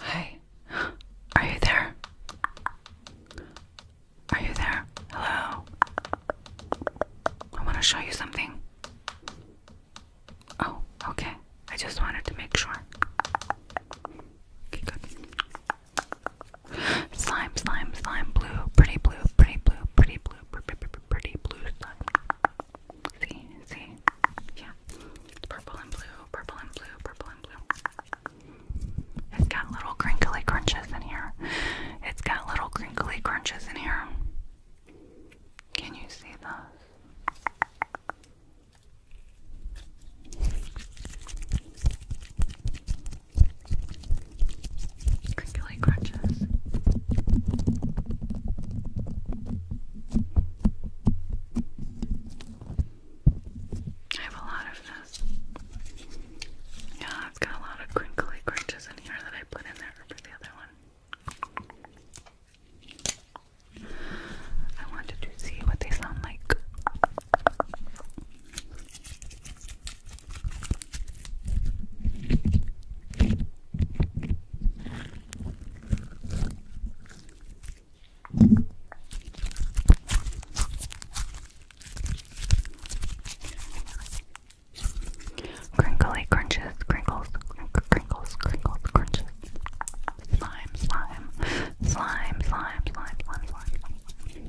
Hi, are you there? Are you there? Hello? I want to show you something. Oh, okay. I just wanted to make sure. Okay, good. Slime, slime, slime, blue, pretty blue, pretty blue, pretty blue, pretty blue See, see, yeah, purple and blue, purple and blue, purple and blue. It's got little crinkly crunches in here. It's got little crinkly crunches in here. Can you see those? crinkly crunches. I have a lot of this. Yeah, it's got a lot of crinkly crunches in here that I put in there for the other one. I wanted to see what they sound like. Crinkly crunches, crinkles, crinkles, crinkles, crunches. Slime, slime, slime, slime, slime, slime, slime. slime.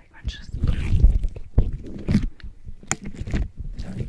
like crunches. Sorry.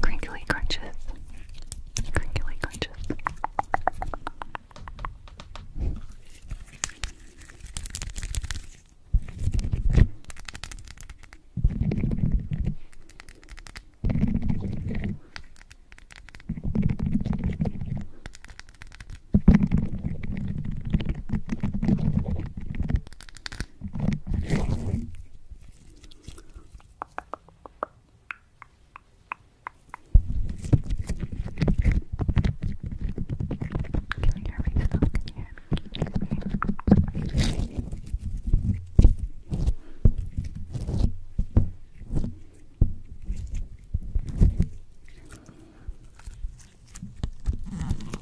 Crinkly crunches. Crinkly crunches. Can you hear me still? Can you hear me? Can you hear me?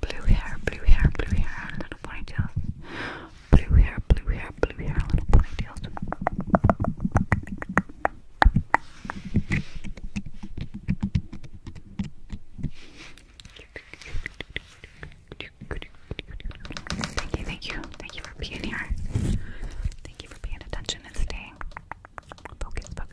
blue hair, blue hair, blue hair, little ponytails. Blue hair, blue hair, blue hair, little ponytails. Do Thank you, thank you, thank you for being here. Thank you for paying attention and staying. Focus, focus.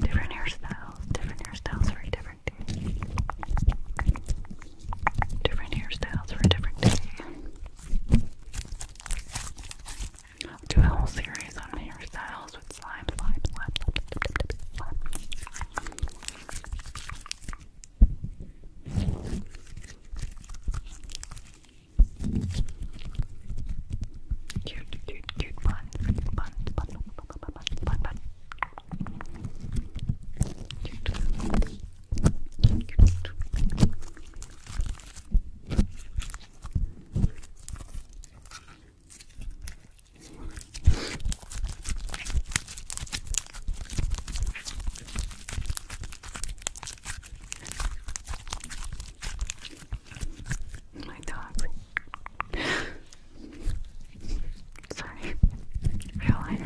Different hairstyles, different hairstyles for a different day. Different hairstyles for a different day. do a whole series on hairstyles with slime, slime, slime, slime, slime. Cute, cute, cute bun, bun, bun, bun, bun, bun, bun. Cute, cute, cute. My dog. Sorry. Real life.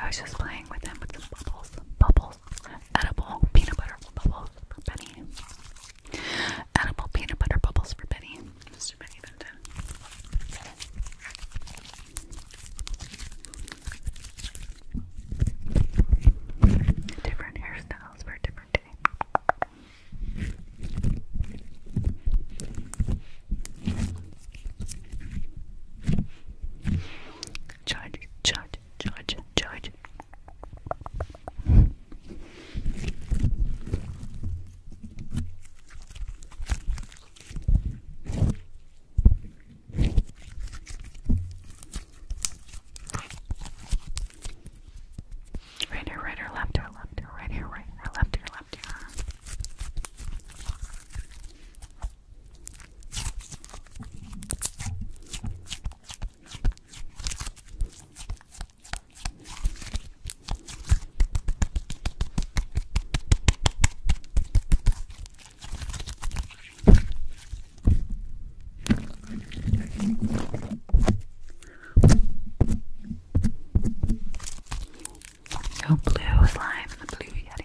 I was just playing with them with some bubbles, bubbles, edible peanut butter bubbles for Benny, edible peanut butter bubbles for Benny. Different hairstyles for different day charge, charge, charge, charge. Right here, right here, left here, left here, right here, right here, left here, left here. So blue slime, the blue yellow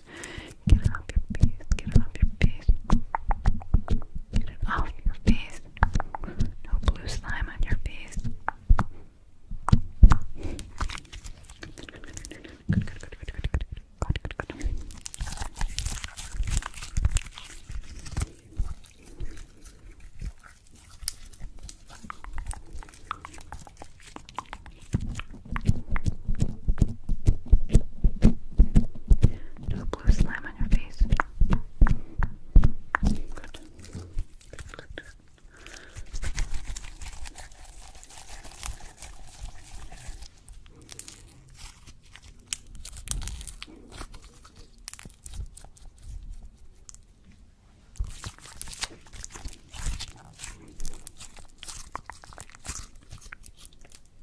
face. Get it off your face. Get it off your face. Get it off your face. No blue slime on your face. Do a blue slime on your face. Good. Good, good. Good.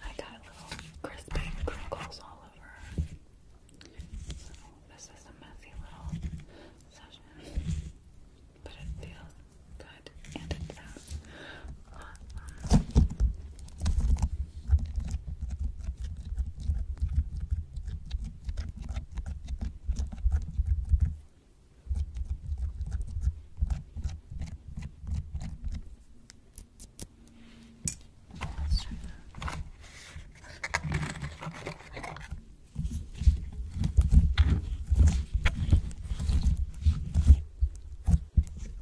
I got little crispy crinkles all over. So this is a messy little session, but it feels good. And it says, awesome.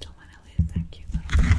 Don't want to lose that cute little guy.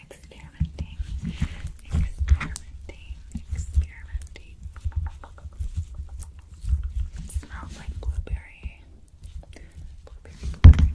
Experimenting, experimenting, experimenting sweet. It smells like blueberry. Blueberry, blueberry, blueberry.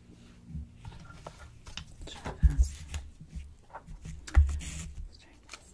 Let's try this. Let's try this.